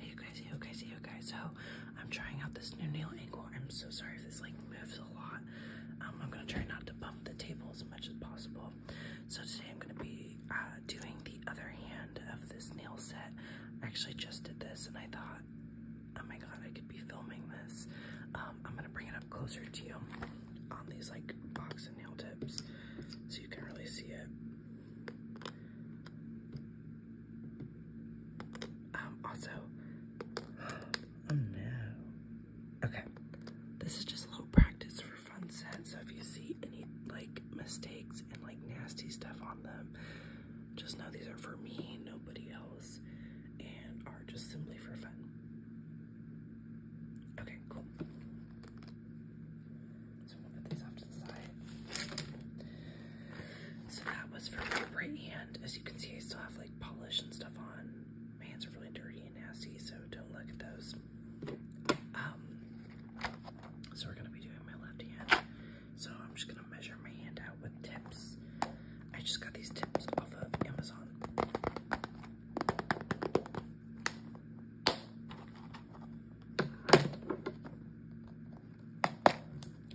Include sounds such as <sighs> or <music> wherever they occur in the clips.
Hey guys, hey guys, hey guys. So I'm trying out this new nail angle. I'm so sorry if this like moves a lot. Um, I'm gonna try not to bump the table as much as possible. So today I'm gonna be uh, doing the other hand of this nail set. I actually just did this and I thought, oh my god, I could be filming this. Um, I'm gonna bring it up closer to you on these like box and nail tips so you can really see it. Oh, also, <gasps> oh no. Okay, this is just a practice for fun set. So if you see any like mistakes and like nasty stuff on them, just know these are for me, nobody else, and are just simply for fun. Okay, cool. So that was for my right hand. As you can see, I still have like polish and stuff on. My hands are really dirty and nasty, so don't look at those. Um, so we're gonna be doing my left hand. So I'm just gonna measure my hand out with tips. I just got these tips off of Amazon.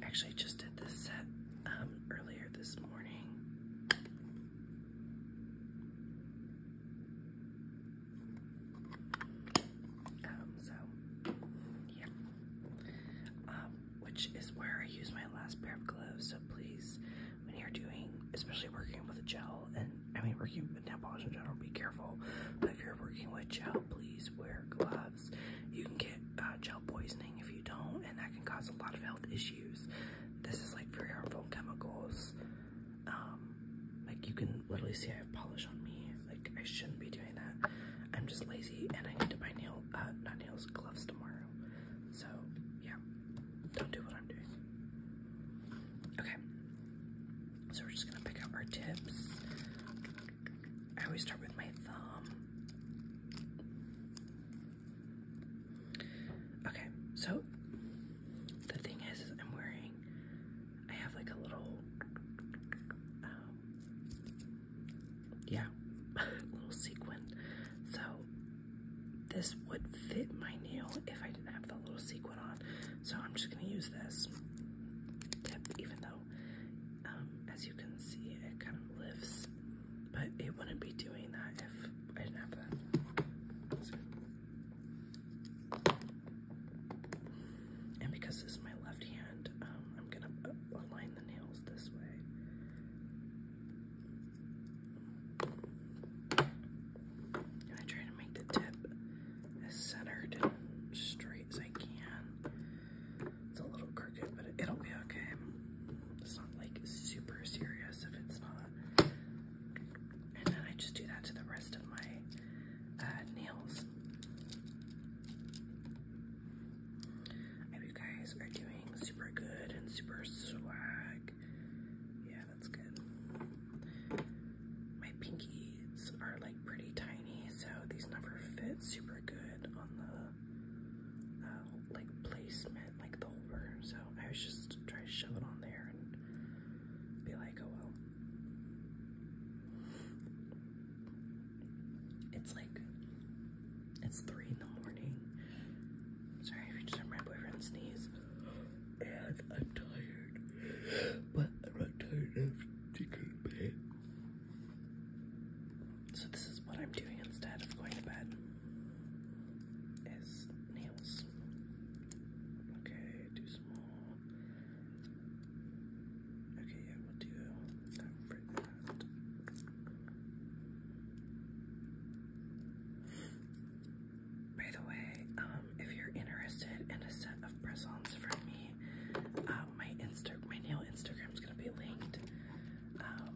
Actually, just did this set um, earlier this morning. Um, so, yeah. Um, which is where I use my last pair of gloves, so please, when you're doing, especially working with gel, and I mean working with nail polish in general, be careful, if you're working with gel, please wear gloves. You can get uh, gel poisoning if you don't, and that can cause a lot of health issues. This is like very harmful chemicals. Um, like you can literally see I have polish on me. Like I shouldn't be doing that. I'm just lazy, and I need to buy nail, uh, not nails, gloves tomorrow. So yeah, don't do what I'm doing. Okay, so we're just gonna pick up our tips. I always start with my thumb. Okay, so the thing is, I'm wearing, I have like a little, um, yeah, <laughs> little sequin. So this would fit my nail if I didn't have the little sequin on. So I'm just gonna use this tip, even though um, as you can see, it kind of lifts, but it wouldn't be doing that if I didn't have that. And because this is my left hand, um, I'm gonna align the nails this way. And I try to make the tip as centered and straight as I can. It's a little crooked, but it'll be okay. It's not like super serious if it's not. And then I just do that to the rest of my uh, nails. hope you guys are doing super good and super swag. Yeah, that's good my pinkies are like pretty tiny, so these never fit super good on the uh, like placement, like the holder. So I was just trying to shove it on there and be like, oh well. It's like it's three in the morning. Sorry if you just heard my boyfriend sneeze. And I'm tired, but I'm not tired enough to go to bed. So this is what I'm doing instead of going to bed. Is nails. Okay, too small. Okay, yeah, we'll do that right that. By the way, um, if you're interested in a set of press-ons me, um, my Insta, my nail Instagram is gonna be linked. Um,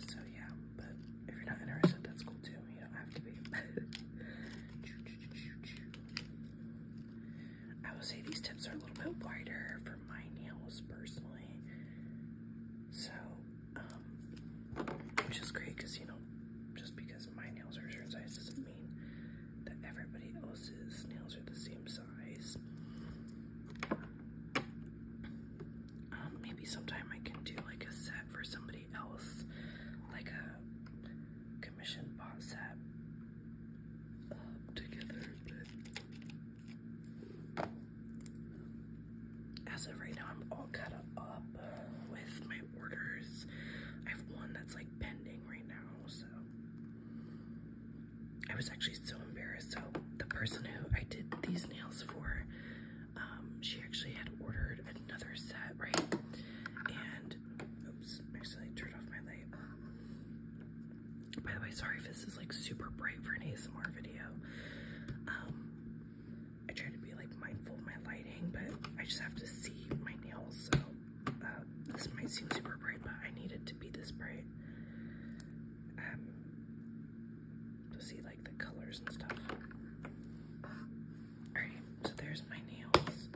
so yeah, but if you're not interested, that's cool too. You don't have to be. <laughs> I will say these tips are a little bit wider for my nails personally. So, um, which is great because you know, just because my nails are a size doesn't mean that everybody else's nails are the same size. Um, maybe sometime I can do like a set for somebody else, like a commission bought set together. as of right now, I'm all cut up uh, with my orders. I have one that's like pending right now so I was actually so embarrassed. So the person who I did these nails for, um, she actually had ordered another set, right? And oops, I accidentally turned off my light. By the way, sorry if this is like super bright for an ASMR video. Um, I try to be like mindful of my lighting, but I just have to see my nails, so um, this might seem super bright, but I need it to be this bright um, to see like the colors and stuff. Alright, so there's my nails.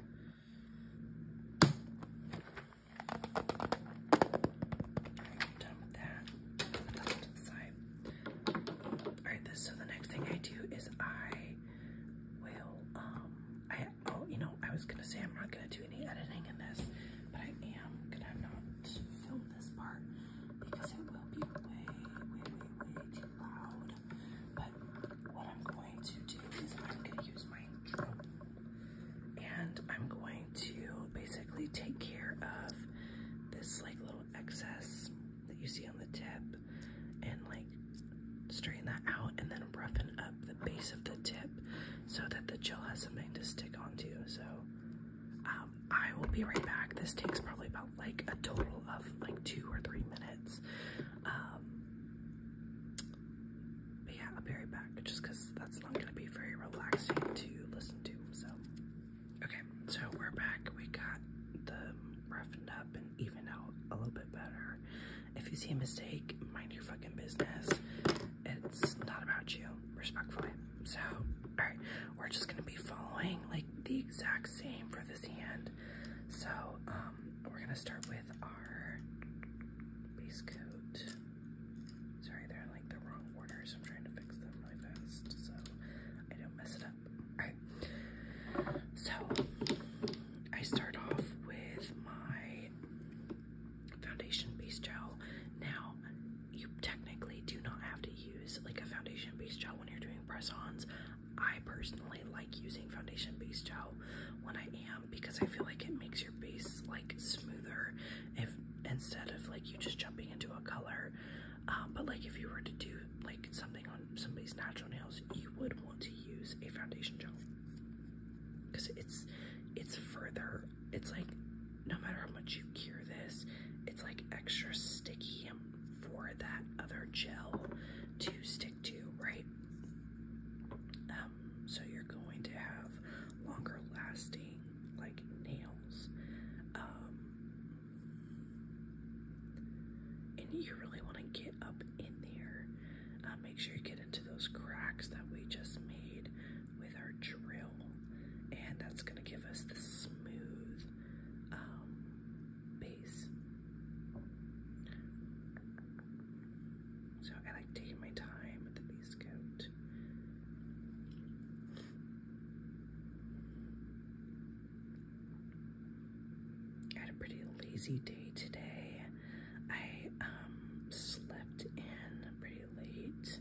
done with that. That's to the side. Alright, so the next thing I do is I will, um, I Oh, you know, I was gonna say I'm not gonna do any editing in this, but I am gonna not film this part because it will be way, way, way, way too loud. But what I'm going to do is I'm gonna use my drone and I'm going to basically take care of this like little excess that you see on the tip and like straighten that out and then roughen up the base of the tip so that the gel has something to stick onto. So um, I will be right back. This takes probably about like a total of like two or three minutes. Um, but yeah, I'll be right back just because that's not going to be very relaxing to listen to. So, okay, so we're back. We got the roughened up and evened out a little bit better. If you see a mistake, mind your fucking business. It's not about you, respectfully. So, alright, we're just gonna be following like the exact same for this hand. So, um, we're gonna start with our base coat. Sorry, they're like the wrong order, so I'm trying to fix them really fast so I don't mess it up. Alright, so I start off with my foundation base gel. Now, you technically do not have to use like a foundation base gel when you're doing press ons. I personally like using foundation base gel when I am because I feel like it makes your base like smoother if instead of like you just jumping into a color. Um, but like if you were to do like something on somebody's natural nails, you would want to use a foundation gel because it's it's further it's like no matter how much you cure this it's like extra sticky for that other gel to stick to right um, so you're going to have longer lasting like nails um, and you really want to get up in there uh, make sure you get into those cracks that we just made with our drill, and that's going to give us the smooth um, base. So I like taking my time with the base coat. had a pretty lazy day today. I um, slept in pretty late,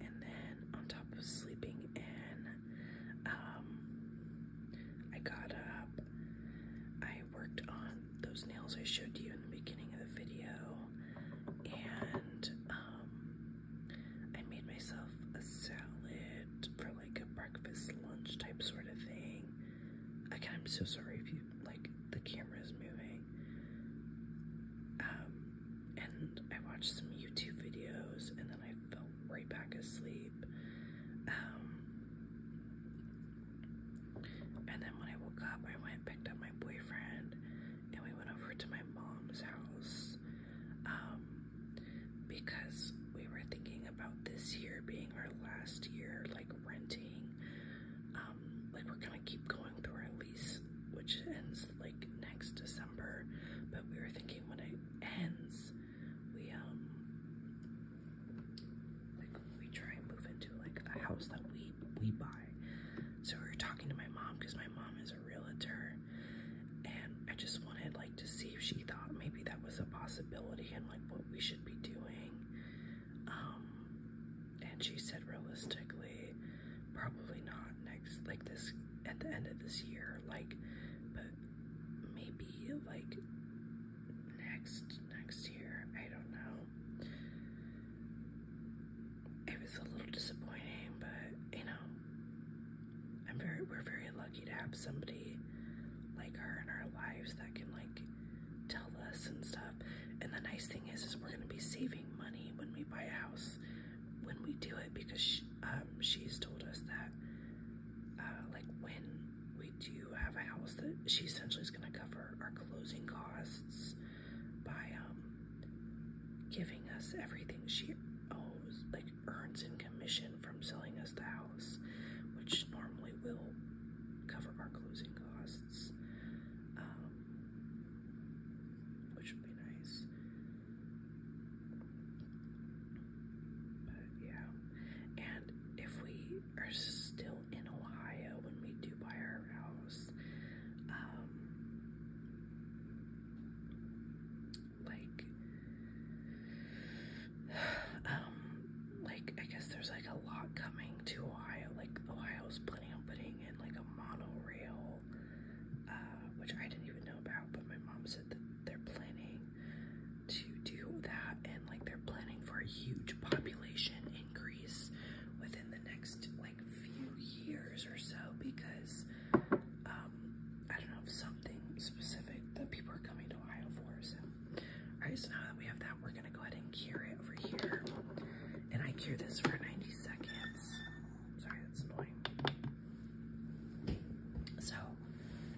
and then on top of sleeping in, um, I got up. I worked on those nails I showed you in the beginning of the video, and um, I made myself a salad for like a breakfast, lunch type sort of thing. I'm so sorry if you like the camera is moving. Um, and I watched some YouTube videos and then I fell right back asleep. Um, and then when I woke up, I went and picked up my boyfriend and we went over to my mom's house um, because we were thinking about this year being our last year, like renting. Um, like we're gonna keep going through our lease, which ends like next December. But we were thinking when it ends, we um like we try and move into like a house that we we buy. So we were talking to my mom because my mom is a realtor, and I just wanted like to see if she thought maybe that was a possibility and like what we should be doing. Um, and she said realistically, probably not next, like this, at the end of this year, like, but maybe like next, next year, I don't know. It was a little disappointing, but you know, I'm very, we're very lucky to have somebody like her in our lives that can like tell us and stuff. And the nice thing is, is we're gonna be saving money when we buy a house when we do it because she, um, she's told us that uh, like when we do have a house that she essentially is gonna cover our closing costs by um, giving us everything she owes, like earns in commission from selling us the house, which normally will cover our closing costs. Um, which would be nice. But yeah, and if we are still in Ohio when we do buy our house, um, like, <sighs> um, like I guess there's like a lot coming to Ohio. Like Ohio's planning on putting in like a monorail, uh, which I didn't even know about, but my mom said that they're planning to do that and like they're planning for a huge population increase within the next like few years or so because um, I don't know if something specific that people are coming to Ohio for. So I just know that we have that we're gonna go ahead and cure it over here. And I cure this for 90 seconds. Sorry, that's annoying. So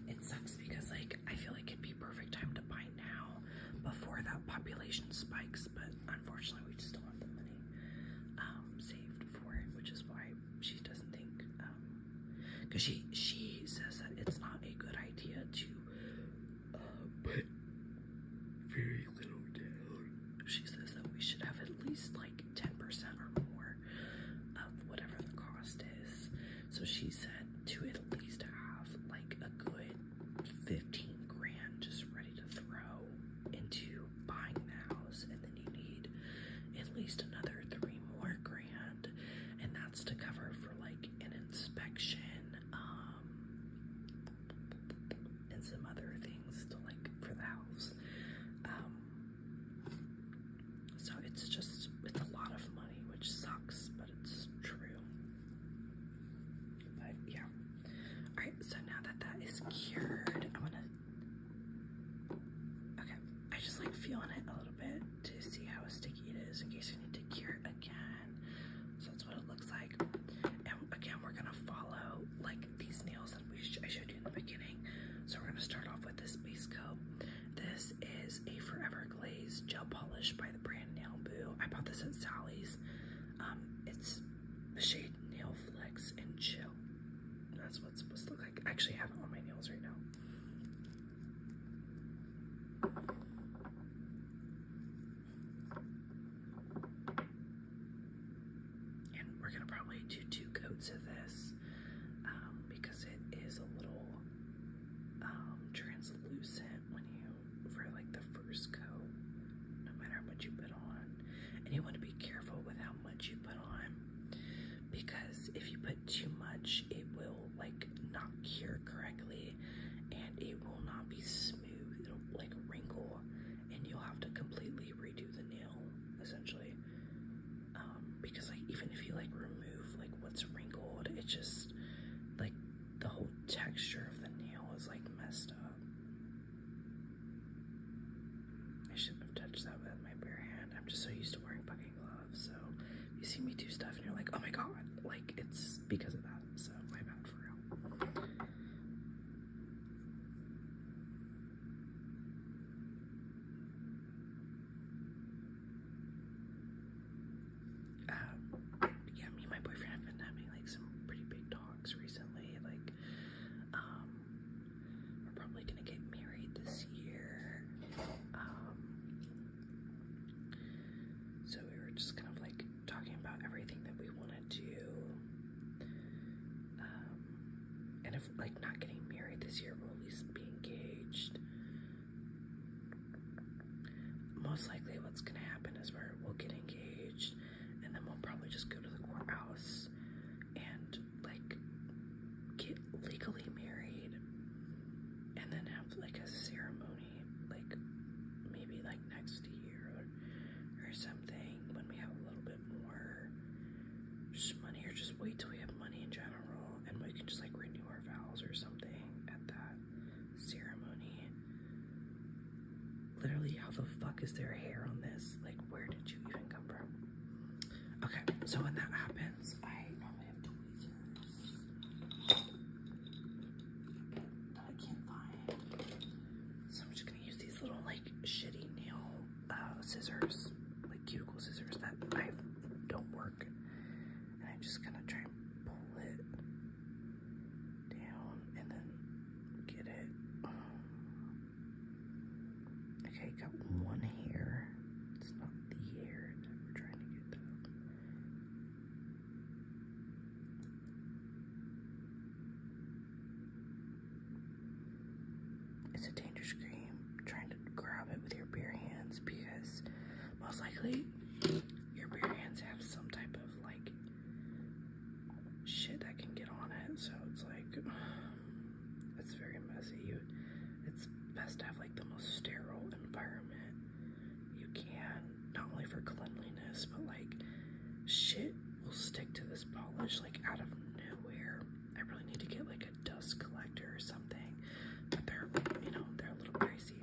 it sucks because like I feel like it'd be perfect time to buy now before that population spikes, but unfortunately we just don't have the money um, saved for it, which is why she doesn't think because um, she she says that it's not a good idea to uh, very little down. She says that we should have at least like 10% or more of whatever the cost is. So she said to at least have like a good 15 grand just ready to throw into buying the house, and then you need at least another three more grand, and that's to cover for like an inspection um, and some other things to like for the house. Um, so it's just it's a lot of money, which sucks, but it's true. But yeah. All right. So now that that is cured, I'm to Okay, I just like feeling it a little bit to see how sticky it is in case I need to cure it again. So what it looks like. And again, we're gonna follow like these nails that we I showed you in the beginning. So we're gonna start off with this base coat. This is a Forever Glaze Gel Polish by the brand Nail Boo. I bought this at Sally's. Um, it's the shade Nail Flex and Chill. That's what it's supposed to look like. I actually have it on my nails right now. And we're gonna probably do two coats of this um, because it is a little um, translucent when you for like the first coat, no matter how much you put on. And you want to be careful with how much you put on because if you put too much, it will like not cure correctly and it will not be smooth smooth, it'll like wrinkle, and you'll have to completely redo the nail essentially. Um, because like even if you like remove like what's wrinkled, it just like the whole texture of the nail is like messed up. I shouldn't have touched that with my bare hand. I'm just so used to wearing fucking gloves. So you see me do stuff and you're like, oh my god, like it's because of that. So my bad for uh, real. yeah, me and my boyfriend have been having like some pretty big talks recently. Like, um, we're probably gonna get married this year. Um, so we were just kind of like talking about everything that we wanted to um, and if like not getting married this year, we'll at least be engaged. Most likely, what's gonna happen is we'll get engaged, and then we'll probably just go to the courthouse and like get legally married, and then have like a ceremony like maybe like next year or, or something when we have a little bit more money or just wait till we have money in general and we can just like renew our vows or something at that ceremony. Literally, how the fuck is there hair on this? Like, where did you even come from? Okay, so when that happens, I normally have tweezers. I can't find. So I'm just gonna use these little like shitty nail uh, scissors, like cuticle scissors that I don't work. And I'm just gonna try and pull it down and then get it. Um, okay, got one here. It's not the hair that we're trying to get though. It's a dangerous game trying to grab it with your bare hands because most likely your bare hands have some type of like shit that can get on it. So it's like <sighs> it's very messy. You, it's best to have like the most sterile environment you can, not only for cleanliness, but like shit will stick to this polish like out of nowhere. I really need to get like a dust collector or something, but they're, you know, they're a little pricey.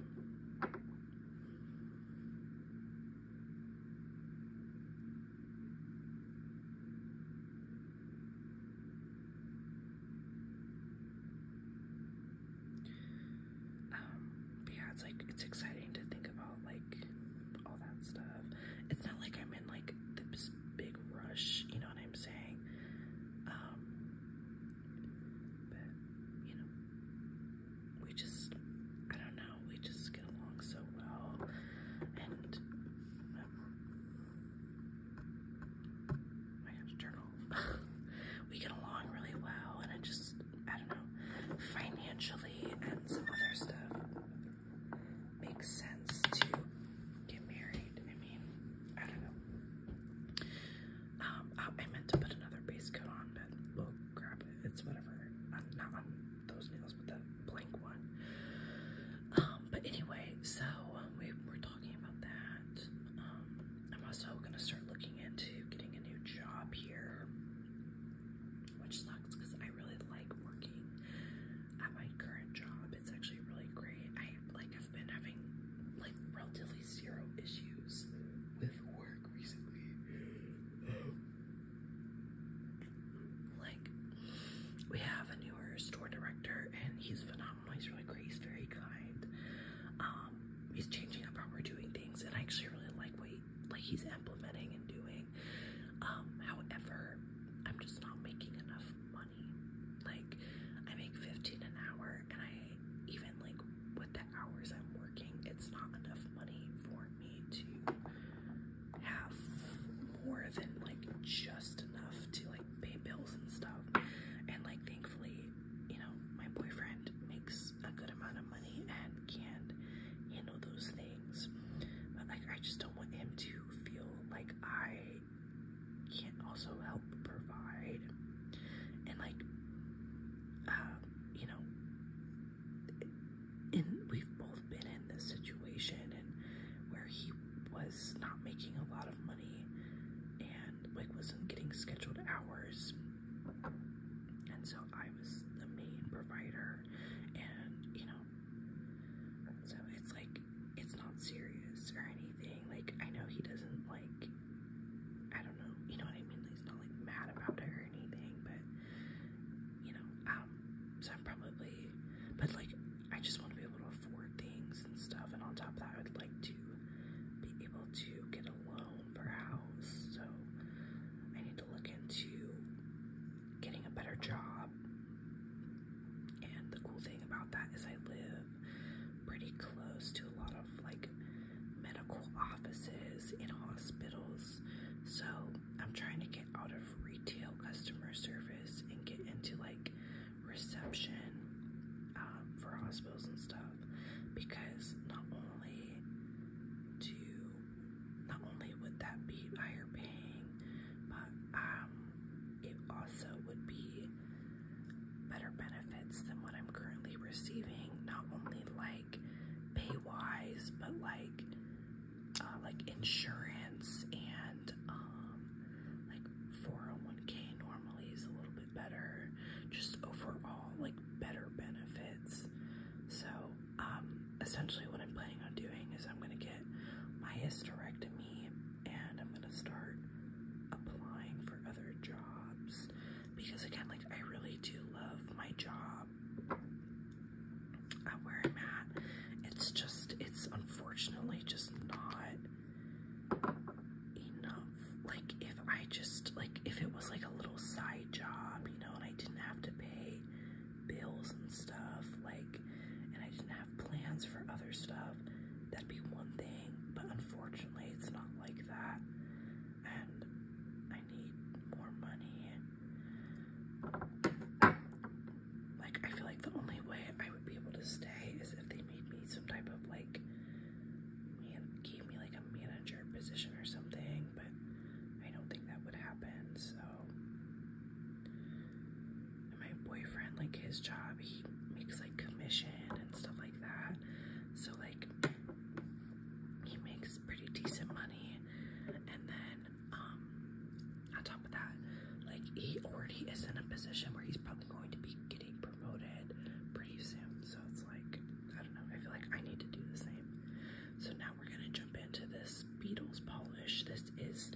Um, yeah, it's like it's exciting to think about like all that stuff. It's not like I'm in like this big rush, you know what I'm saying? Um, you know, we just I don't know, we just get along so well, and um, I have to turn off. <laughs> we get along really well, and I just I don't know, financially and some other stuff, makes sense to get married. I mean, I don't know. Um, I, meant to put another base coat on, but we'll grab it. It's whatever. I'm not on those nails, but that blank one. Um, but anyway, so we were talking about that. Um, I'm also gonna start looking into getting a new job here which sucks because I really like working at my current job. It's actually really great. I like have been having like relatively zero issues with work recently. like we have a newer store director and he's phenomenal. He's really great. He's very kind. Um, he's changing up how we're doing things, and I actually really like what he like he's implementing and doing. Um, however, I'm just not making enough money. Like I make 15 an hour and I even like with the hours I'm working, it's not enough money for me to have more than like just enough to like pay bills and stuff. And like thankfully, you know, my boyfriend makes a good amount of money and can handle those things. But like I just don't want him to feel like I can't also help provide and like um, you know and we've both been in this situation and where he was not making a lot of money and like wasn't getting scheduled hours and so I was the main provider, and you know, so it's like it's not serious or anything. Like, I know he doesn't like, I don't know, you know what I mean? Like, he's not like mad about it or anything, but you know, um, so I'm probably, but like, I just want to be able to afford things and stuff, and on top of that, I would like to be able to get a loan for a house, so I need to look into getting a better job. And the cool thing about that is I live pretty close to a lot of like medical offices and hospitals. So I'm trying to get out of retail customer service and get into like reception um, for hospitals and stuff because not only do not only would that be higher paying, but um, it also would be better benefits than what I'm currently receiving. Not only like pay wise, but like uh, like insurance and um, like 401k normally is a little bit better. Just overall, like better benefits. So um, essentially what I'm planning on doing is I'm going to get my hysterectomy and I'm going to start applying for other jobs because again, like I really do love my job at where I'm at. It's just, it's unfortunately just not enough. Like if I just, like if it was like a little side great job, you know, and I didn't have to pay bills and stuff, like, and I didn't have plans for other stuff, that'd be one thing, but unfortunately, it's not like that, and I need more money. Like, I feel like the only way I would be able to stay is if they made me some type of, like, man gave me, like, a manager position or something, but I don't think that would happen. So, my boyfriend, like his job, he makes like commission and stuff like that. So, like, he makes pretty decent money, and then, um, on top of that, like, he already is in a position where he's probably going to be getting promoted pretty soon. So, it's like, I don't know, I feel like I need to do the same. So, now we're gonna jump into this Beatles polish. This is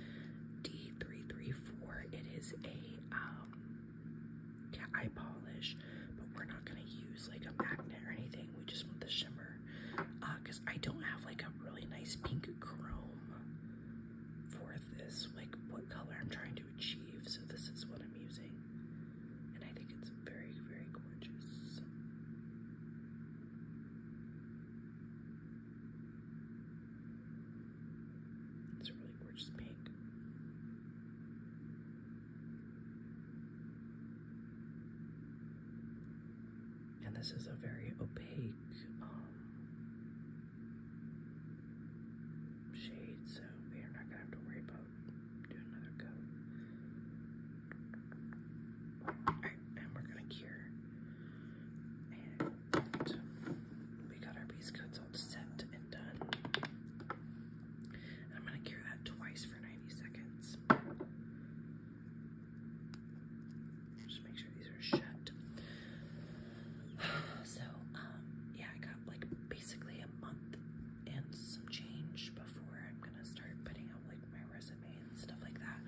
D334. It is a um, eye polish, but we're not gonna use like a magnet or anything. We just want the shimmer because uh, I don't have like a really nice pink chrome for this. Like what color I'm trying to achieve, so this is what I'm using, and I think it's very, very gorgeous. It's a really gorgeous pink. And this is a very opaque um, shade, so we are not going to have to worry about do another coat. and we're gonna cure. we got our base coats all set and done. I'm gonna cure that twice for 90 seconds. Just make sure these are shut. <sighs> So, um, yeah, I got like basically a month and some change before I'm gonna start putting out like my resume and stuff like that.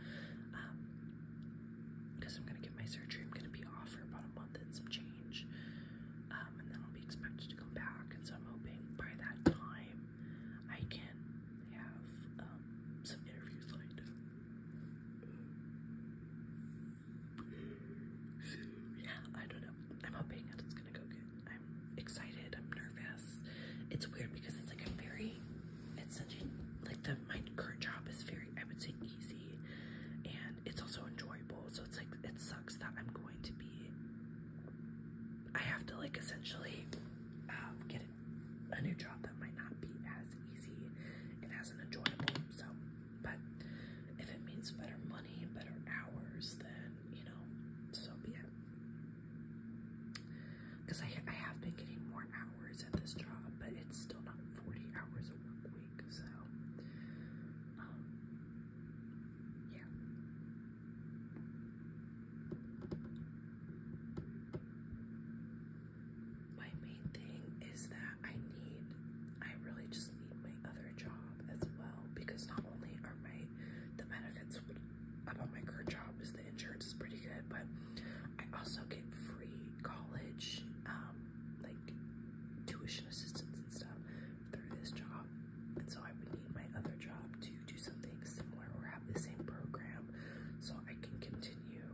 because um, I'm gonna get my surgery, I'm gonna be off for about a month and some change. Um, and then I'll be expected to come back, and so I'm hoping by that time I can have um, some interviews lined up. yeah, I don't know. I'm hoping that it's gonna go good excited. I'm nervous. It's weird because it's like a very. It's such a, like the my current job is very I would say easy, and it's also enjoyable. So it's like it sucks that I'm going to be. I have to like essentially um, get a new job that might not be as easy and as enjoyable. So, but if it means better money, better hours, then you know, so be it. Because I, I have been getting more hours at this job, but it's still not 40 hours a work week, so, um, yeah. My main thing is that I need, I really just need my other job as well, because not only are my, the benefits about my current job is the insurance is pretty good, but I also get free college, um, like tuition assistance and stuff through this job. And so I would need my other job to do something similar or have the same program so I can continue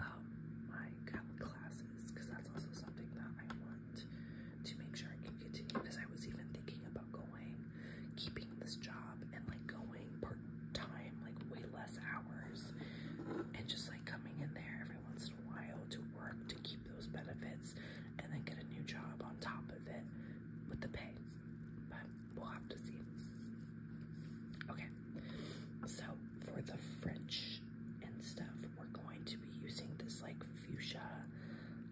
um, my classes because that's also something that I want to make sure I can continue because I was even thinking about going keeping this job and like going part time, like way less hours, and just like coming in there every once in a while to work to keep those benefits and then get a new job on top of it with the pay. But we'll have to see. Okay, so for the French and stuff, we're going to be using this like fuchsia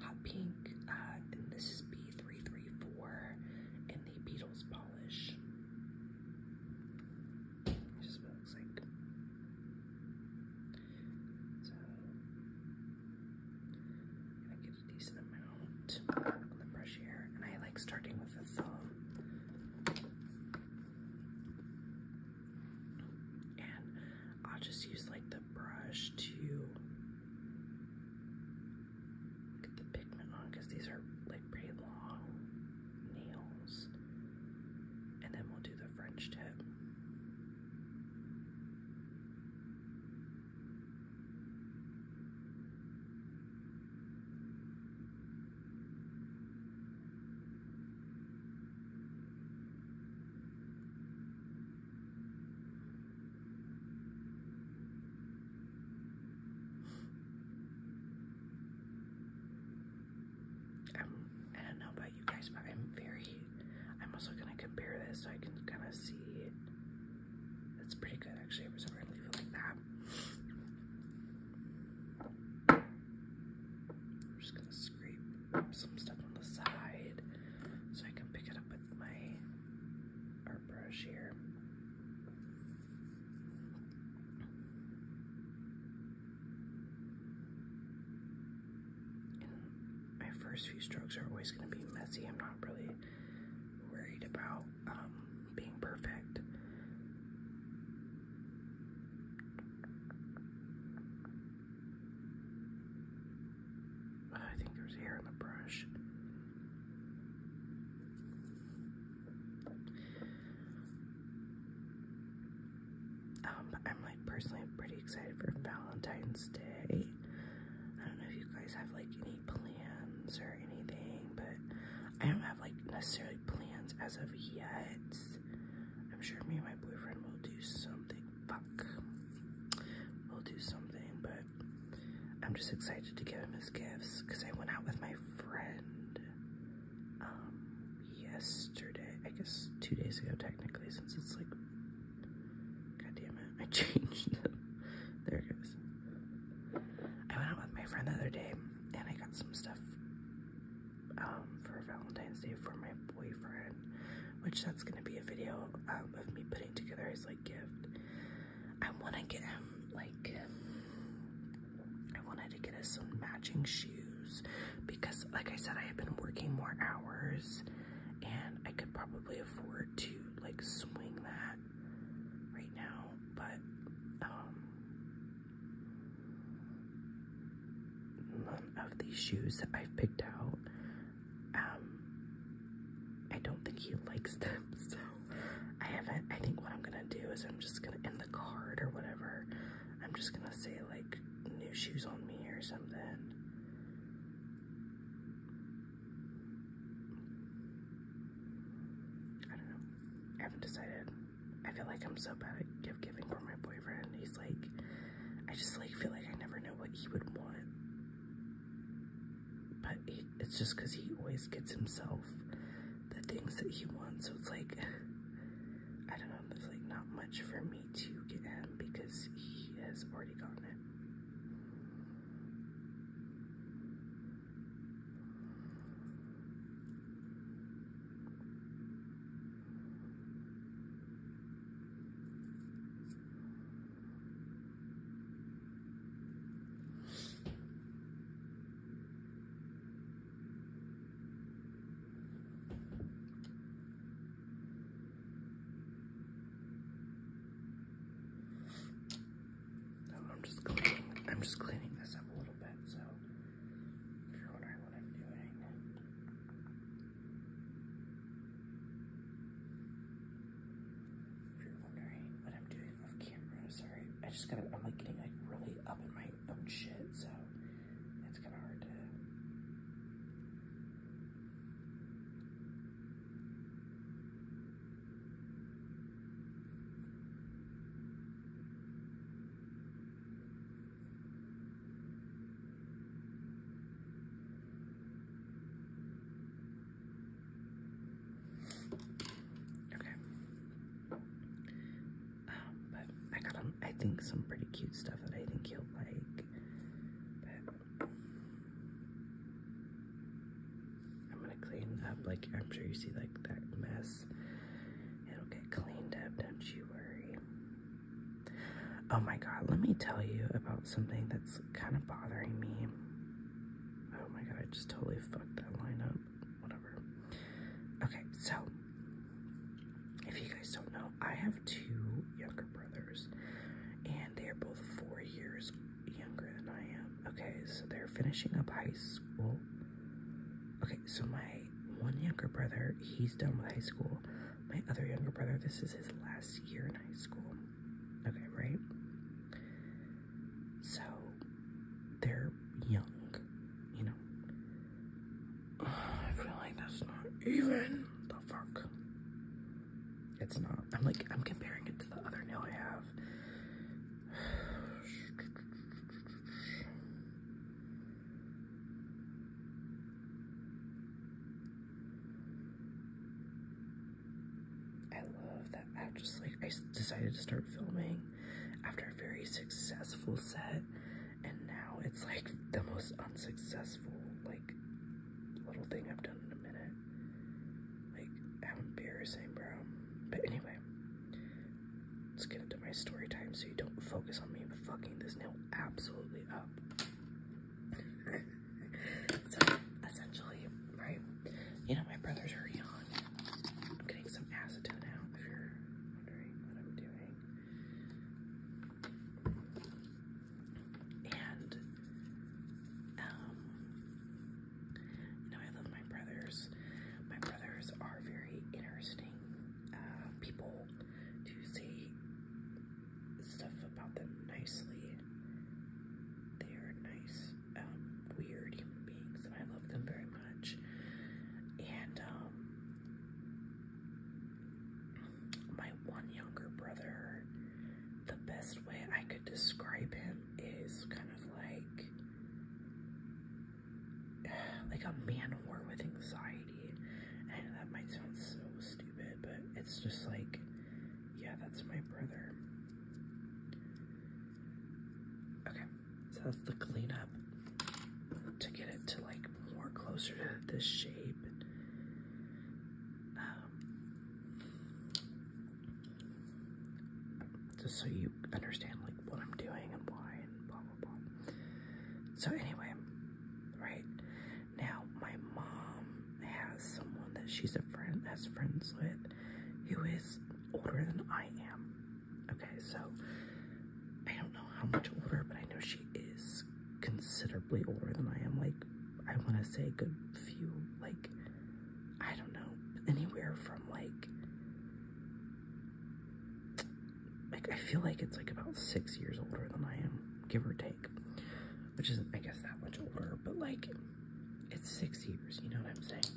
hot pink, uh, this is B3 334 in the Beatles polish. This what it looks like. So, i gonna get a decent amount on the brush here, and I like starting with the thumb. And I'll just use like the brush to get the pigment on because these are like pretty long nails. And then we'll do the French tip. I'm, I am do not know about you guys, but I'm very, I'm also gonna compare this so I can kind of see. That's pretty good actually, I was never going like that. I'm just gonna scrape some stuff on the side so I can pick it up with my art brush here my first few strokes are always going to be messy. I'm not really worried about um, being perfect. I think there's hair in the brush. Um, I'm like personally pretty excited for Valentine's Day. I don't know if you guys have like any plans or anything, but I don't have like necessarily plans as of yet. I'm sure me and my boyfriend will do something. Fuck. We'll do something, but I'm just excited to give him his gifts because I went out with my friend um, yesterday. I guess two days ago, technically, since it's like. God damn it, I <laughs> changed there goes. I went out with my friend the other day and I got some stuff um, for Valentine's Day for my boyfriend, which that's going to be a video um, of me putting together his like gift. I want to get him like I wanted to get us some matching shoes because like I said I have been working more hours and I could probably afford to like swing that right now but um, none of these shoes that I've picked out um I don't think he likes them <laughs> so I haven't, I think what I'm gonna do is I'm just gonna, in the card or whatever, I'm just gonna say like new shoes on me or something. I don't know. I haven't decided. I feel like I'm so bad at gift giving for my boyfriend. He's like, I just like feel like I never know what he would want. But it's just because he always gets himself the things that he wants. So it's like, I don't know, there's like not much for me to get him because he has already gotten it. I'm just cleaning. I'm just cleaning this up a little bit, so if you're wondering what I'm doing. If you're wondering what I'm doing, my camera. Sorry, I just gotta. I'm like getting like really up in my own shit, so it's kind of hard to. Okay. Um, but I got I think some pretty cute stuff that I think you'll like. I'm gonna clean up like I'm sure you see like that mess. It'll get cleaned up, don't you worry. Oh my god, let me tell you about something that's kind of bothering me. Oh my god, I just totally fucked that line up. Whatever. Okay, so if you guys don't know, I have two younger brothers, and they are both four years younger than I am. Okay, so they're finishing up high school. Okay, so my one younger brother, he's done with high school. My other younger brother, this is his last year in high school. Okay, right? So they're young, you know. I feel like that's not even the fuck. It's not. I'm like I'm comparing it to the other nail I have. I love that I Just like I decided to start filming after a very successful set, and now it's like the most unsuccessful like little thing I've done in a minute. Like how embarrassing, bro. But anyway, let's get into my story time so you don't focus on me fucking this nail absolutely up. <laughs> essentially, right? You know, my brothers are young. I'm getting some acetone out if you're wondering what I'm doing. And um you know, I love my brothers. My brothers are very interesting uh, people to say stuff about them nicely they are nice, um, weird human beings, and I love them very much. And um, my one younger brother, the best way I could describe him is kind of like <sighs> like a man whore with anxiety. And that might sound so stupid, but it's just like, yeah, that's my brother. Okay, so that's the cleanup to get it to like more closer to this shape. Um, just so you understand like what I'm doing and why and blah blah blah. So anyway, right now my mom has someone that she's a friend that's friends with who is older than I am. Okay, so I don't know how much older, but I know she is considerably older than I am. Like, I want to say a good few, like, I don't know, anywhere from like, like I feel like it's like about six years older than I am, give or take, which isn't, I guess, that much older, but like, it's six years, you know what I'm saying?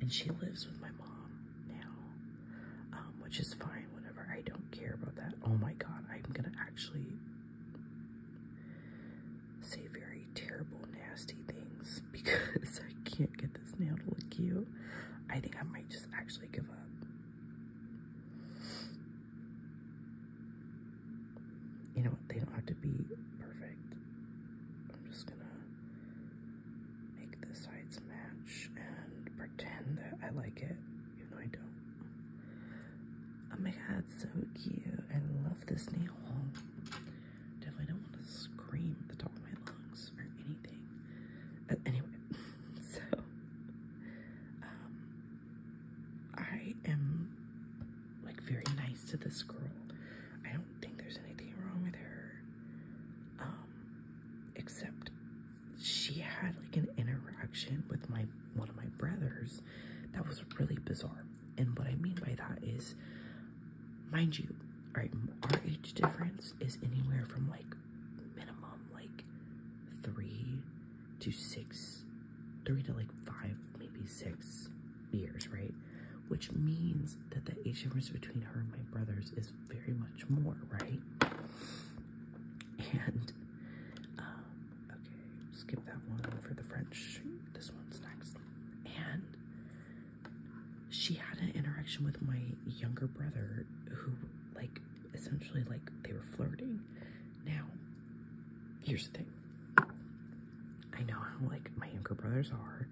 And she lives with my mom now, um, which is fine, whatever. I don't care about that. Oh my god, I'm gonna actually say very terrible, nasty things <laughs> because I can't get this nail to look cute. I think I might just actually give up you know what? They don't have to be perfect. I'm just gonna make the sides match and pretend that I like it, even though I don't. Oh my god, so cute. I love this nail. Definitely don't want to scream at the top of my lungs or anything. But uh, anyway, <laughs> so um, I am like very nice to this girl. I don't think there's anything wrong with her. Um, except she had like an interaction with my one of my brothers that was really bizarre. And what I mean by that is, mind you, all right, our age difference is anywhere from like minimum like three to six, three to like five maybe six years, right? Which means that the age difference between her and my brothers is very much more, right? And, um, okay, skip that one for the French. This one's next. And she had an interaction with my younger brother who, like, essentially, like, they were flirting. Now, here's the thing I know how like my younger brothers are.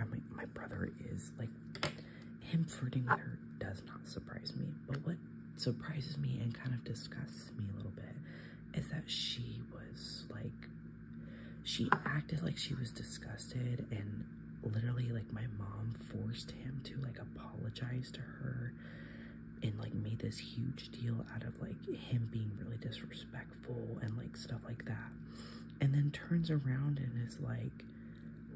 I my brother is like him flirting with her does not surprise me. But what surprises me and kind of disgusts me a little bit is that she was like she acted like she was disgusted and literally like my mom forced him to like apologize to her and like made this huge deal out of like him being really disrespectful disrespectful and like stuff like that. And then turns around and is like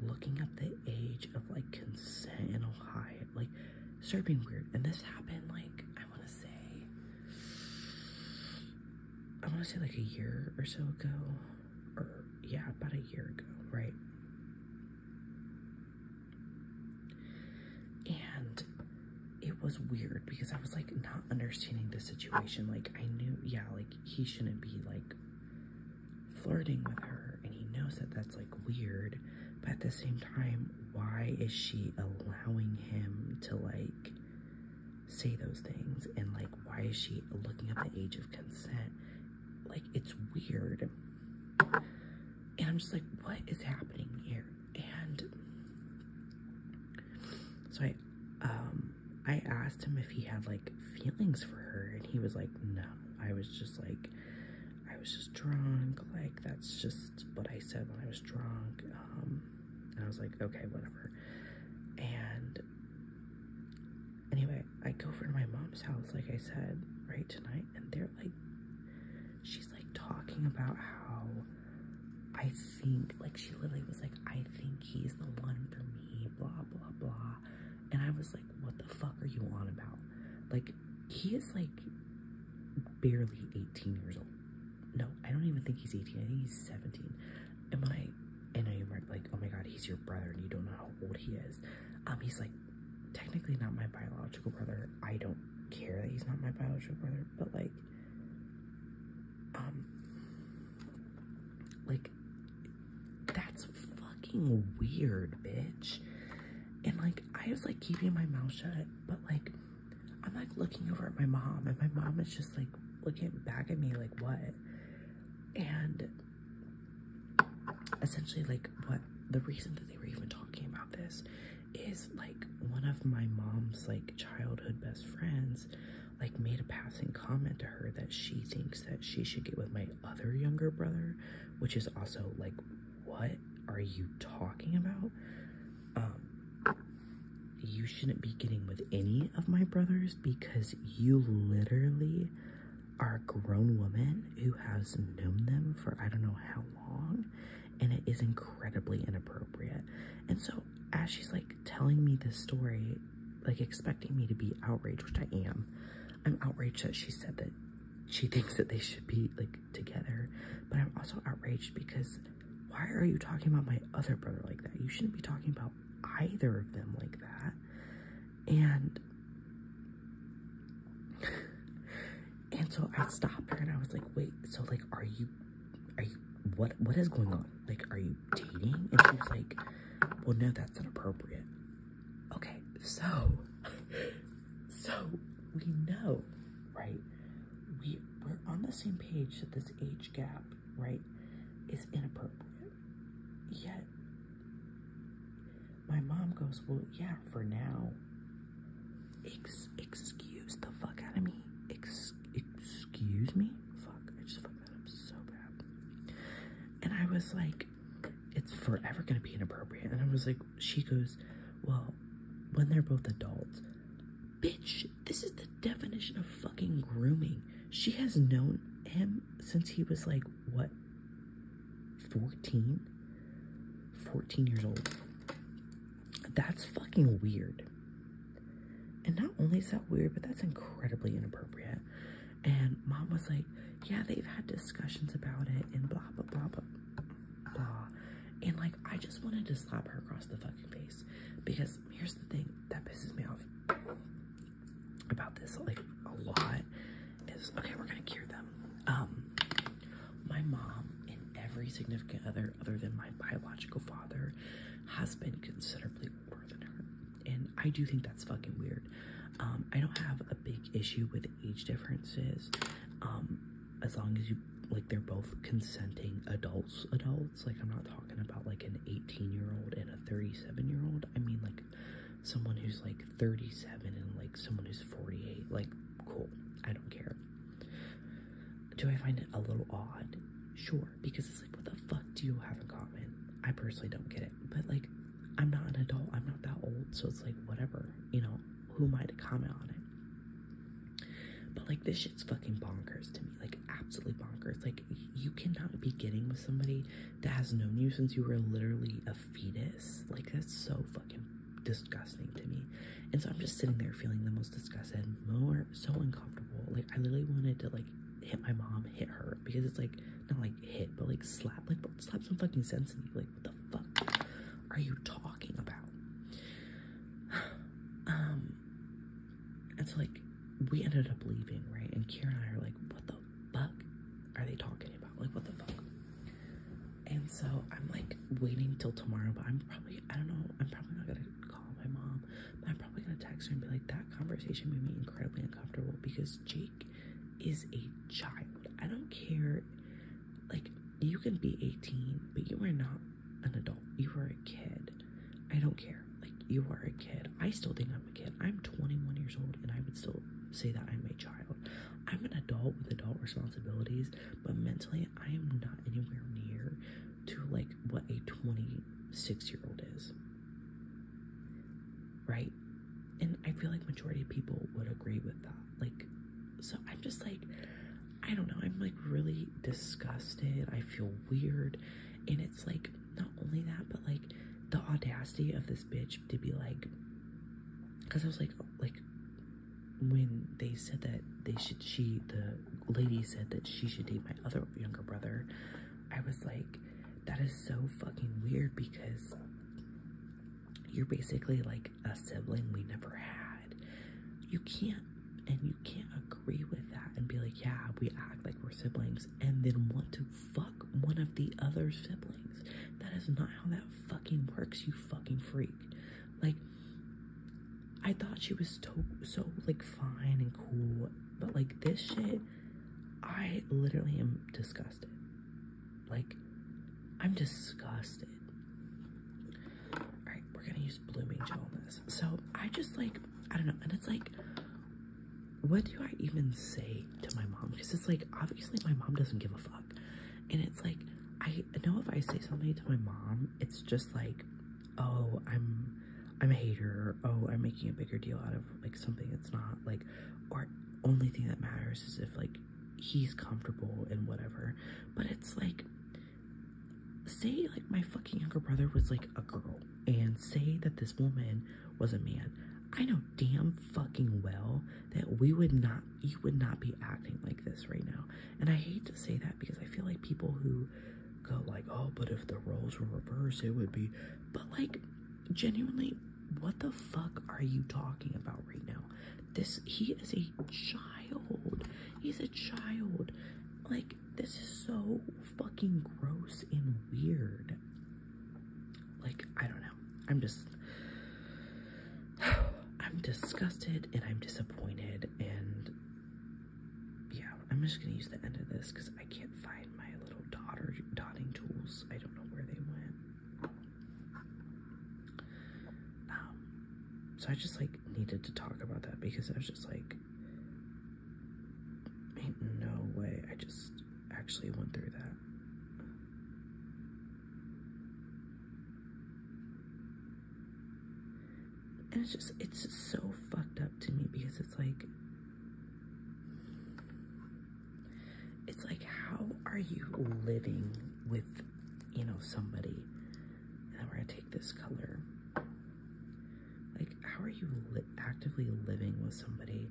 looking up the age of like consent in Ohio. Like start being weird. And this happened like I wanna say I wanna say like a year or so ago. Or yeah, about a year ago, right? And it was weird because I was like not understanding the situation. Like I knew, yeah, like he shouldn't be like flirting with her and he knows that that's like weird. But at the same time, why is she allowing him to like say those things? And like, why is she looking at the age of consent? Like it's weird. And I'm just like, what is happening here? and so I um I asked him if he had like feelings for her and he was like no I was just like I was just drunk like that's just what I said when I was drunk um and I was like okay whatever and anyway I go over to my mom's house like I said right tonight and they're like she's like talking about how I think, like, she literally was like, I think he's the one for me, blah, blah, blah. And I was like, what the fuck are you on about? Like, he is like barely 18 years old. No, I don't even think he's 18. I think he's 17. Am when I, and I am like, oh my God, he's your brother and you don't know how old he is. Um, he's like, technically not my biological brother. I don't care that he's not my biological brother, but like, um like that's fucking weird bitch and like i was like keeping my mouth shut but like i'm like looking over at my mom and my mom is just like looking back at me like what and essentially like what the reason that they were even talking about this is like one of my mom's like childhood best friends like made a passing comment to her that she thinks that she should get with my other younger brother, which is also like, what are you talking about? Um, you shouldn't be getting with any of my brothers because you literally are a grown woman who has known them for I don't know how long, and it is incredibly inappropriate. And so, as she's like telling me this story, like expecting me to be outraged, which I am. I'm outraged that she said that she thinks that they should be like together, but I'm also outraged because why are you talking about my other brother like that? You shouldn't be talking about either of them like that. And <laughs> and so I stopped her and I was like, wait, so like, are you are you what what is going on? Like, are you dating? And she was like, Well, no, that's inappropriate. Okay, so <laughs> so we know, right? We we're on the same page that this age gap, right, is inappropriate. Yet my mom goes, Well, yeah, for now. Ex excuse the fuck out of me. Excuse excuse me? Fuck, I just fucked that up so bad. And I was like, it's forever gonna be inappropriate. And I was like, she goes, well, when they're both adults, bitch, this is the definition of fucking grooming. She has known him since he was like, what, 14? 14 years old. That's fucking weird. And not only is that weird, but that's incredibly inappropriate. And mom was like, yeah, they've had discussions about it and blah, blah, blah, blah, And like, I just wanted to slap her across the fucking face because here's the thing that pisses me off about this like a lot is, okay, we're gonna cure them. Um, my mom and every significant other other than my biological father has been considerably older than her. And I do think that's fucking weird. Um, I don't have a big issue with age differences. Um, as long as you like they're both consenting adults adults. Like I'm not talking about like an 18 year old and a 37 year old. I mean like someone who's like 37 and like someone who's 48. Like cool. I don't care do I find it a little odd? Sure, because it's like, what the fuck do you have in common? I personally don't get it, but like, I'm not an adult, I'm not that old, so it's like, whatever, you know, who am I to comment on it? But like, this shit's fucking bonkers to me, like, absolutely bonkers. Like, you cannot be getting with somebody that has known you since you were literally a fetus. Like, that's so fucking disgusting to me. And so I'm just sitting there feeling the most disgusted, more so uncomfortable. Like I literally wanted to like hit my mom, hit her because it's like not like hit, but like slap, like slap some fucking sense into you. Like what the fuck are you talking about? <sighs> um, and so like we ended up leaving, right? And Kira and I are like, what the fuck are they talking about? Like what the fuck? And so I'm like waiting till tomorrow, but I'm probably I don't know I'm probably not gonna call my mom I'm probably gonna text her and be like, that conversation made me incredibly uncomfortable because Jake is a child. I don't care. Like, you can be 18, but you are not an adult. You are a kid. I don't care. Like, you are a kid. I still think I'm a kid. I'm 21 years old and I would still say that I'm a child. I'm an adult with adult responsibilities, but mentally, I am not anywhere near to like what a 26 year old is. Right? And I feel like majority of people would agree with that. Like, so I'm just like, I don't know. I'm like really disgusted. I feel weird. And it's like, not only that, but like the audacity of this bitch to be like, because I was like, like, when they said that they should, she, the lady said that she should date my other younger brother, I was like, that is so fucking weird because you're basically like a sibling we never had. You can't, and you can't agree with that and be like, yeah, we act like we're siblings and then want to fuck one of the other siblings. That is not how that fucking works, you fucking freak. Like, I thought she was so so like fine and cool, but like this shit, I literally am disgusted. Like, I'm disgusted. Alright, we're gonna use blooming gel So I just like I don't know, and it's like what do I even say to my mom? Because it's like obviously my mom doesn't give a fuck. And it's like I know if I say something to my mom, it's just like oh, I'm I'm a hater, oh, I'm making a bigger deal out of like something that's not like, or only thing that matters is if like he's comfortable and whatever. But it's like, say like my fucking younger brother was like a girl, and say that this woman was a man. I know damn fucking well that we would not, you would not be acting like this right now. And I hate to say that because I feel like people who go like, oh, but if the roles were reversed, it would be. But like, genuinely, what the fuck are you talking about right now? This he is a child. He's a child. Like, this is so fucking gross and weird. Like, I don't know. I'm just. <sighs> I'm disgusted and I'm disappointed, and yeah, I'm just gonna use the end of this because I can't find my little daughter dotting tools. I don't know where they went. Um, so I just like needed to talk about that because I was just like, no way. I just actually went through that and it's just it's just so fucked up to me because it's like it's like how are you living with you know somebody and then we're gonna take this color like how are you actively living with somebody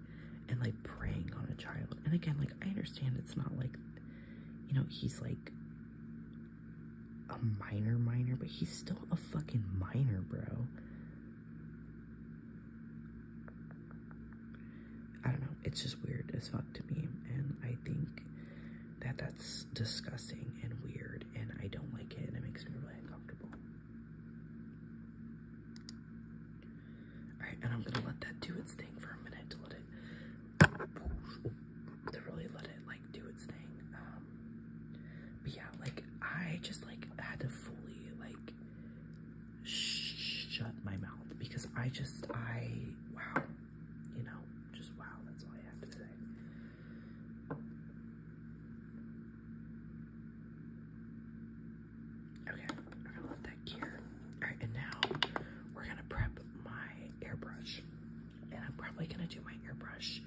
and like preying on a child and again like i understand it's not like you know he's like a minor minor but he's still a fucking minor bro I don't know. It's just weird as fuck to me. And I think that that's disgusting and weird. And I don't like it. And it makes me really uncomfortable. Alright, and I'm going to let that do its thing for a minute to let it... To really let it, like, do its thing. Um, but yeah, like I just like had to fully like shut my mouth because I just I wow, you know, just wow. That's all I have to say. Okay, I'm gonna let that cure. All right, and now we're gonna prep my airbrush, and I'm probably gonna do my airbrush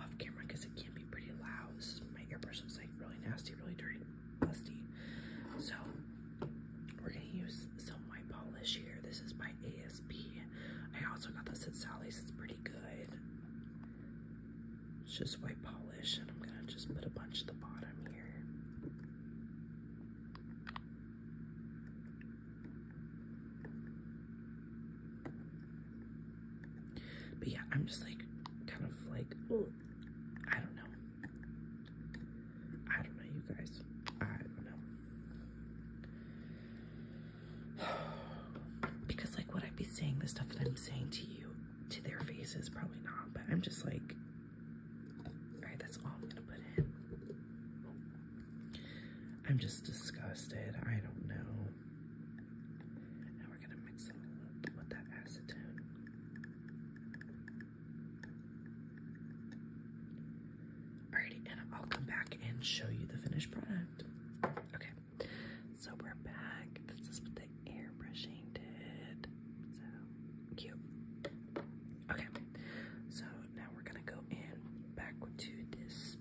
off camera because it can't pretty loud. This is, my airbrush looks like really nasty, really dirty, dusty. So we're gonna use some white polish here. This is my ASP. I also got this at Sally's. It's pretty good. It's just white polish, and I'm gonna just put a bunch at the bottom here. But yeah, I'm just like kind of like oh, I don't know. I don't know, you guys. I don't know. <sighs> because like what I would be saying the stuff that I'm saying to you to their faces? Probably not, but I'm just like Alright, that's all I'm gonna put in. I'm just disgusted. I don't know we're gonna mix it with that acetone. Alrighty, and I'll come back and show you the finished product. Okay, so we're back. This is what the airbrushing did. So cute. Okay, so now we're gonna go in back to this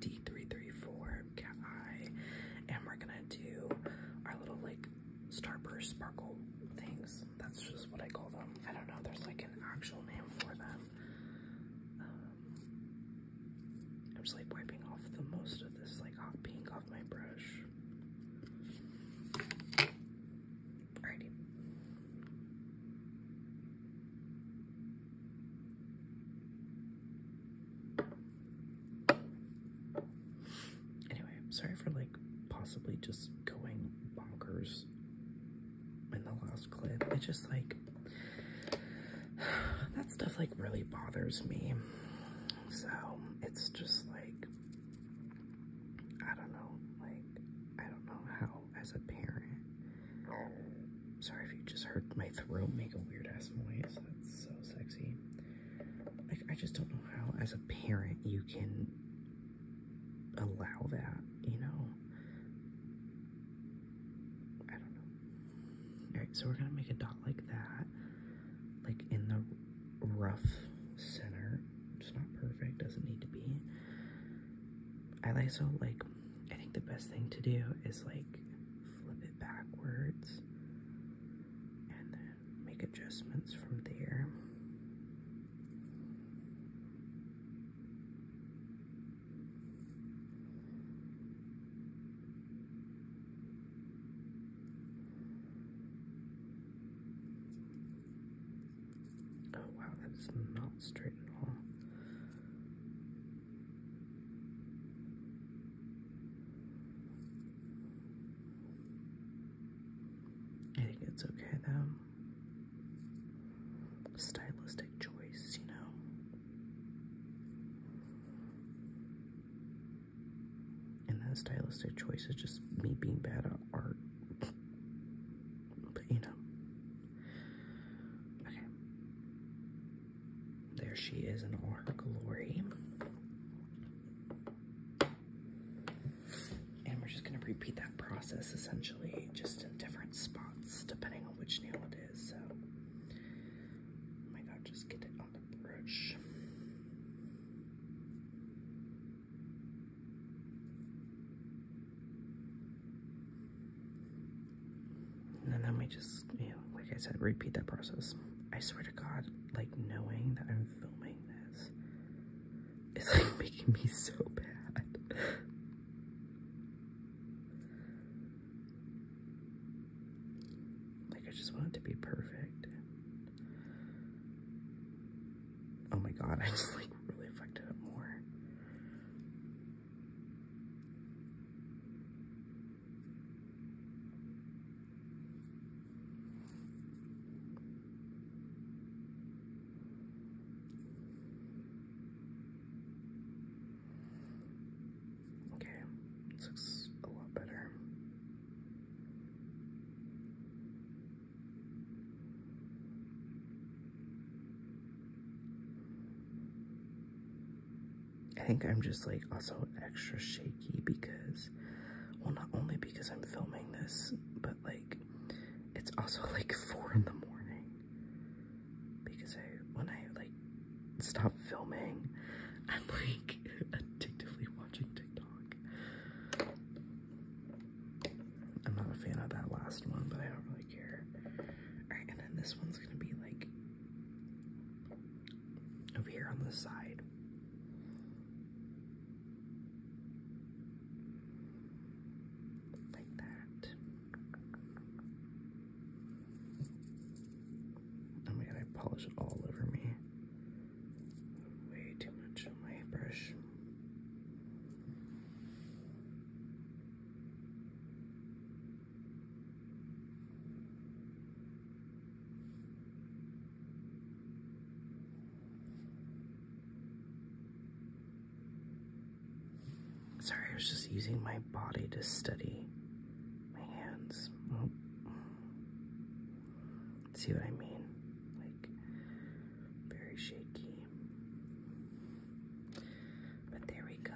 D334 I eye, and we're gonna do our little like starburst sparkle things. That's just what I call them. I don't know, there's like an actual name for them. Um, I'm just like wiping off the most of this like hot pink off my brush. Alrighty. Anyway, I'm sorry for like possibly just going bonkers in the last clip. It's just like <sighs> that stuff like really bothers me. So it's just like I don't know, like I don't know how as a parent. Sorry if you just heard my throat make a weird ass noise that's so sexy. I just don't know how, as a parent, you can allow that, you know? I don't know. Alright, so we're gonna make a dot like that, like in the rough center. It's not perfect, doesn't need to be. I like, so, like, I think the best thing to do is, like, flip it backwards and then make adjustments from there. Oh wow, that's not straight at all. I think it's okay though. Stylistic choice, you know. And that stylistic choice is just me being bad at art. But you know. Okay. There she is in all her glory. And we're just going to repeat that process essentially just in different spots depending on which nail it is. So, oh my god, just get it on the brush. And then we just, you know, like I said, repeat that process. I swear to God, like knowing that I'm filming this it's like <laughs> making me so bad. like I just want it to be perfect. Oh my God, I just like really fucked it up more. Okay, looks a lot better. I think I'm just like also extra shaky because, well, not only because I'm filming this, but like it's also <laughs> like four in the morning. Because I, when I like stop filming, <laughs> I'm like addictively watching TikTok. I'm not a fan of that last one, but I don't really care. and then this one's gonna be like over here on the side. Like that. Oh my god, I polish all over me. Way too much on my brush. Sorry, I was just using my body to study my hands. See what I mean? Like, very shaky. But there we go.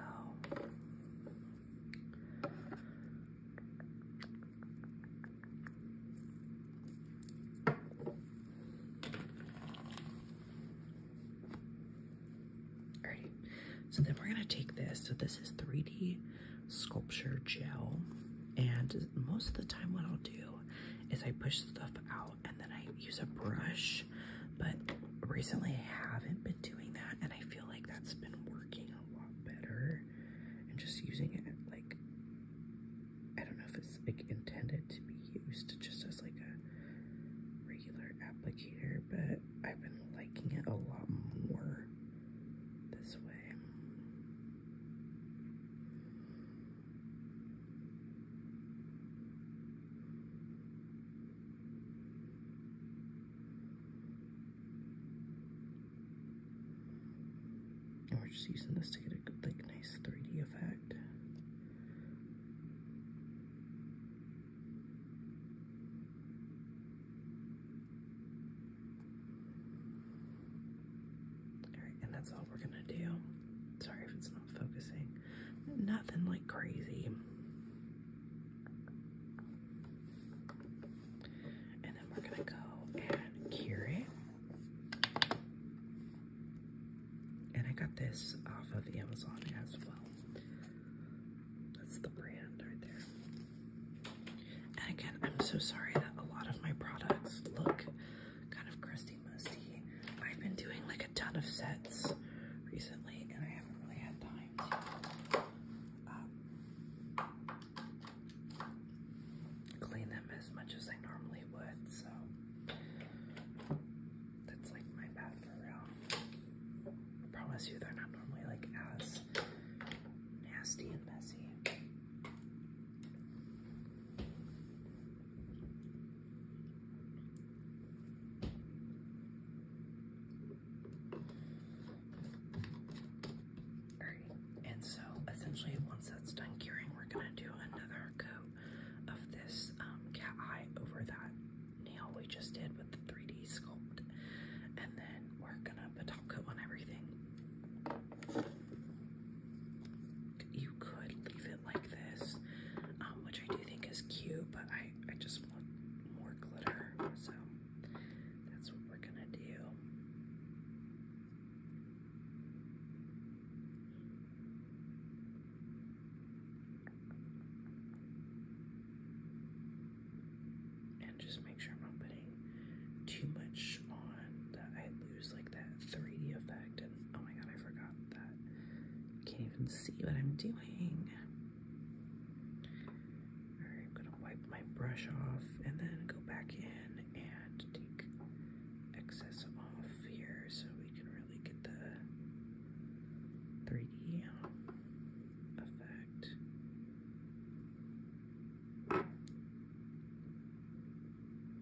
Alrighty, so then we're gonna take this. So this is 3D sculpture gel, and most of the time what I'll do is I push stuff out and then I use a brush, but recently I haven't been doing that, and I feel like that's been working a lot better and just using it like I don't know if it's like intended to be used just as like a regular applicator, but I've been liking it a lot more this way. And oh, we're just using this to get a like nice 3D effect. Alright, and that's all we're gonna do. Sorry if it's not focusing. Nothing like crazy. And then we're gonna go and cure it. And I got this off of Amazon as well. That's the brand right there. And again, I'm so sorry that a lot of my products look kind of crusty musty. I've been doing like a ton of sets recently and I haven't really had time um, clean them as much as I normally would, so that's like my bad for real. I promise you they're not normally like as nasty and messy and so essentially once that's done curing, we're gonna do another coat of this um, cat eye over that nail we just did with the 3D sculpt. And then we're gonna put a coat on everything. You could leave it like this, um, which I do think is cute, but I, I just want more glitter, so that's what we're gonna do. And just make sure I'm not putting too much on that I lose like that 3D effect. And oh my god, I forgot that. can't even see what I'm doing. I'm gonna wipe my brush off and then go back in and take excess off here so we can really get the 3D effect.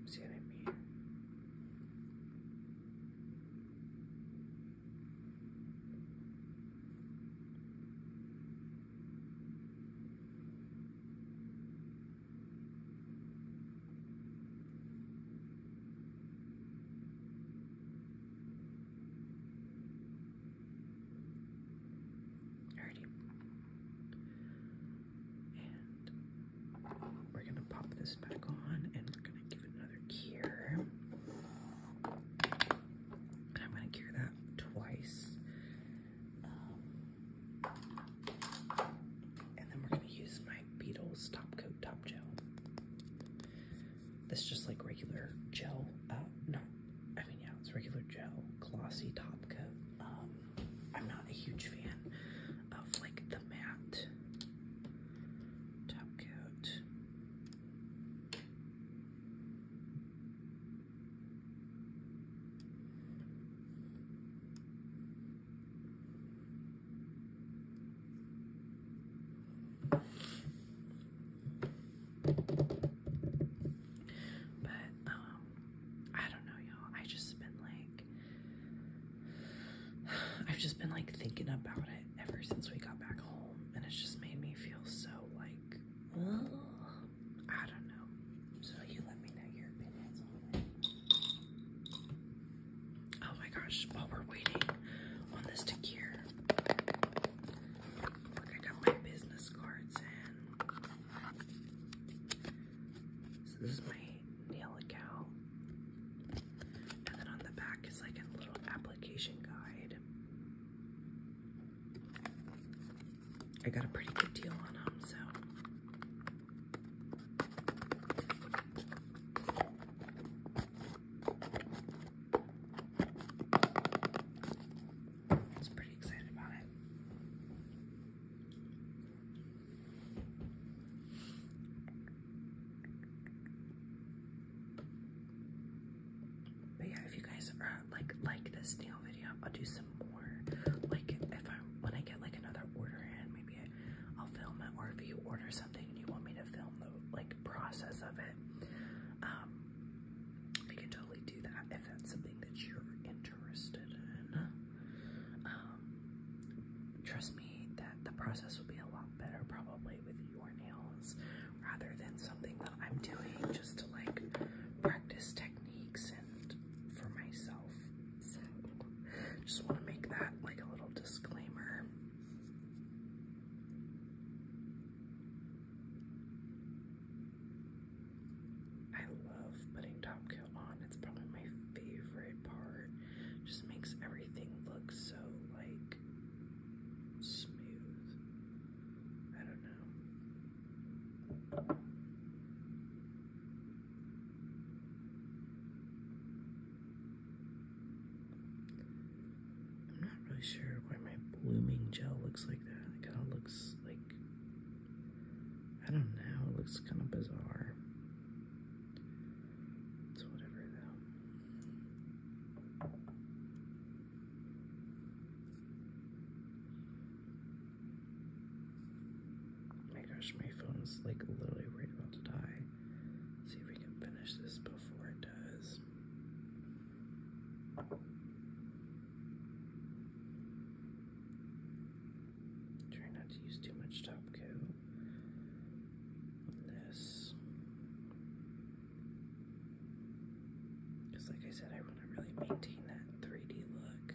See what I mean? Alrighty. And we're gonna pop this back on and we're gonna give it another cure. I'm gonna cure that twice. Um, and then we're going to use my Beatles Top Coat Top Gel. This is just like regular gel. Uh, no, I mean, yeah, it's regular gel, glossy top coat. Um, I'm not a huge fan of like the matte top coat. But um I don't know y'all. I just been like <sighs> I've just been like thinking about it ever since we got back home and it's just made me feel so like I don't know. So you let me know your opinions Oh my gosh, while we're waiting on this to cure. Look, I got my business cards in. this is my nail account. And then on the back is like a little application guide. I got a pretty good deal on them, so. I was pretty excited about it. But yeah, if you guys are like like this nail video. I'll do some more. Like if I when I get like another order in, maybe I, will film it. Or if you order something and you want me to film the like process of it, um, I can totally do that if that's something that you're interested in. Um, trust me that the process will be a lot better probably with your nails rather than something that I'm doing just to like practice technique just want to make that like a little disclaimer. I love putting top coat on. It's probably my favorite part. Just makes everything look so like smooth. I don't know. I'm not really sure why my blooming gel looks like that. It kind of looks like. I don't know, it looks kind of bizarre. It's whatever, though. Oh my gosh, my phone's like literally right about to die. see if we can finish this before it does. Try not to use too much top coat this. Because, like I said, I I to really maintain that 3D look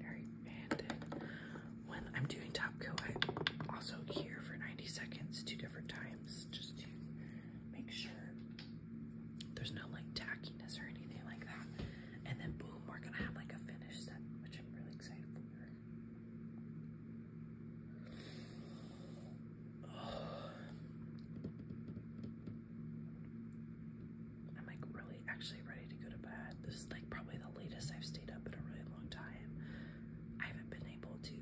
and when I'm doing top coat, I also here for 90 seconds two different times just to make sure there's no like tackiness or anything like that. And then boom, we're gonna have like a finish set, which I'm really excited for. <sighs> I'm like really actually ready to go to bed. This is like probably the latest I've stayed up in a really long time. I haven't been able to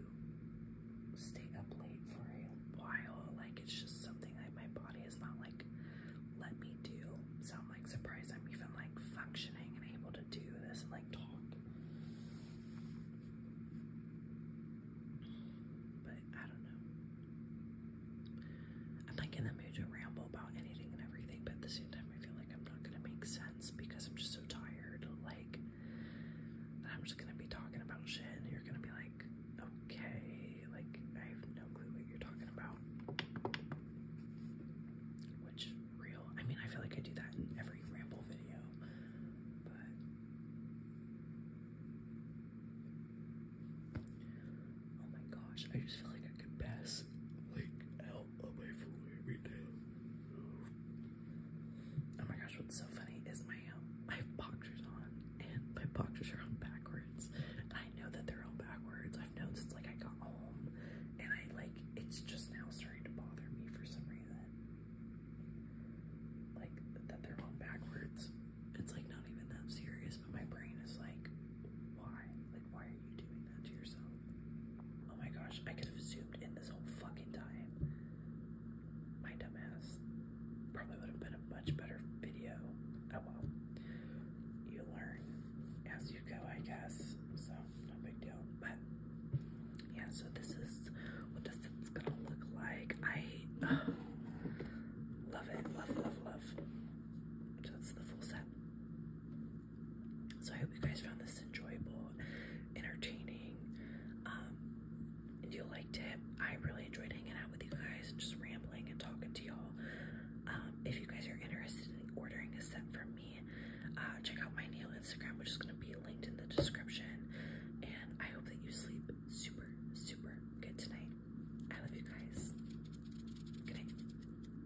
stay up late for a while. Like it's just something that my body is not like let me do. So I'm like surprised I'm even like functioning and able to do this and like talk. But I don't know. I'm like in the mood to ramble about anything and everything, but at the same time I feel like I'm not gonna make sense because I'm just so tired. Like I'm just gonna be talking about shit and you're gonna be like, okay, like I have no clue what you're talking about. Which real I mean I feel like I do that in every ramble video, but Oh my gosh, I just feel like I could pass like out Oh my gosh, what's so funny is my um, boxers on and my boxers are on backwards. I know that they're on backwards. I've known since like I got home and I like it's just now starting to bother me for some reason. Like that they're on backwards. It's like not even that serious, but my brain is like, why? Like why are you doing saying that to yourself. Oh my gosh, I could have zoomed in this whole fucking time. My dumbass. Probably would have been a much better video. Oh well. You learn as you go, I guess. So, no big deal. But, yeah, so this is what this is gonna look like. I uh, <sighs> love it. Love, love, love. So, that's the full set. So I hope you guys found this enjoyable, entertaining, um, and you liked it. I really enjoyed hanging out with you guys and just rambling and talking to y'all. Um, if you guys are interested in ordering a set from me, uh, check out my nail Instagram, which is going to be linked in the description. And I hope that you sleep super, super good tonight. I love you guys. Good night.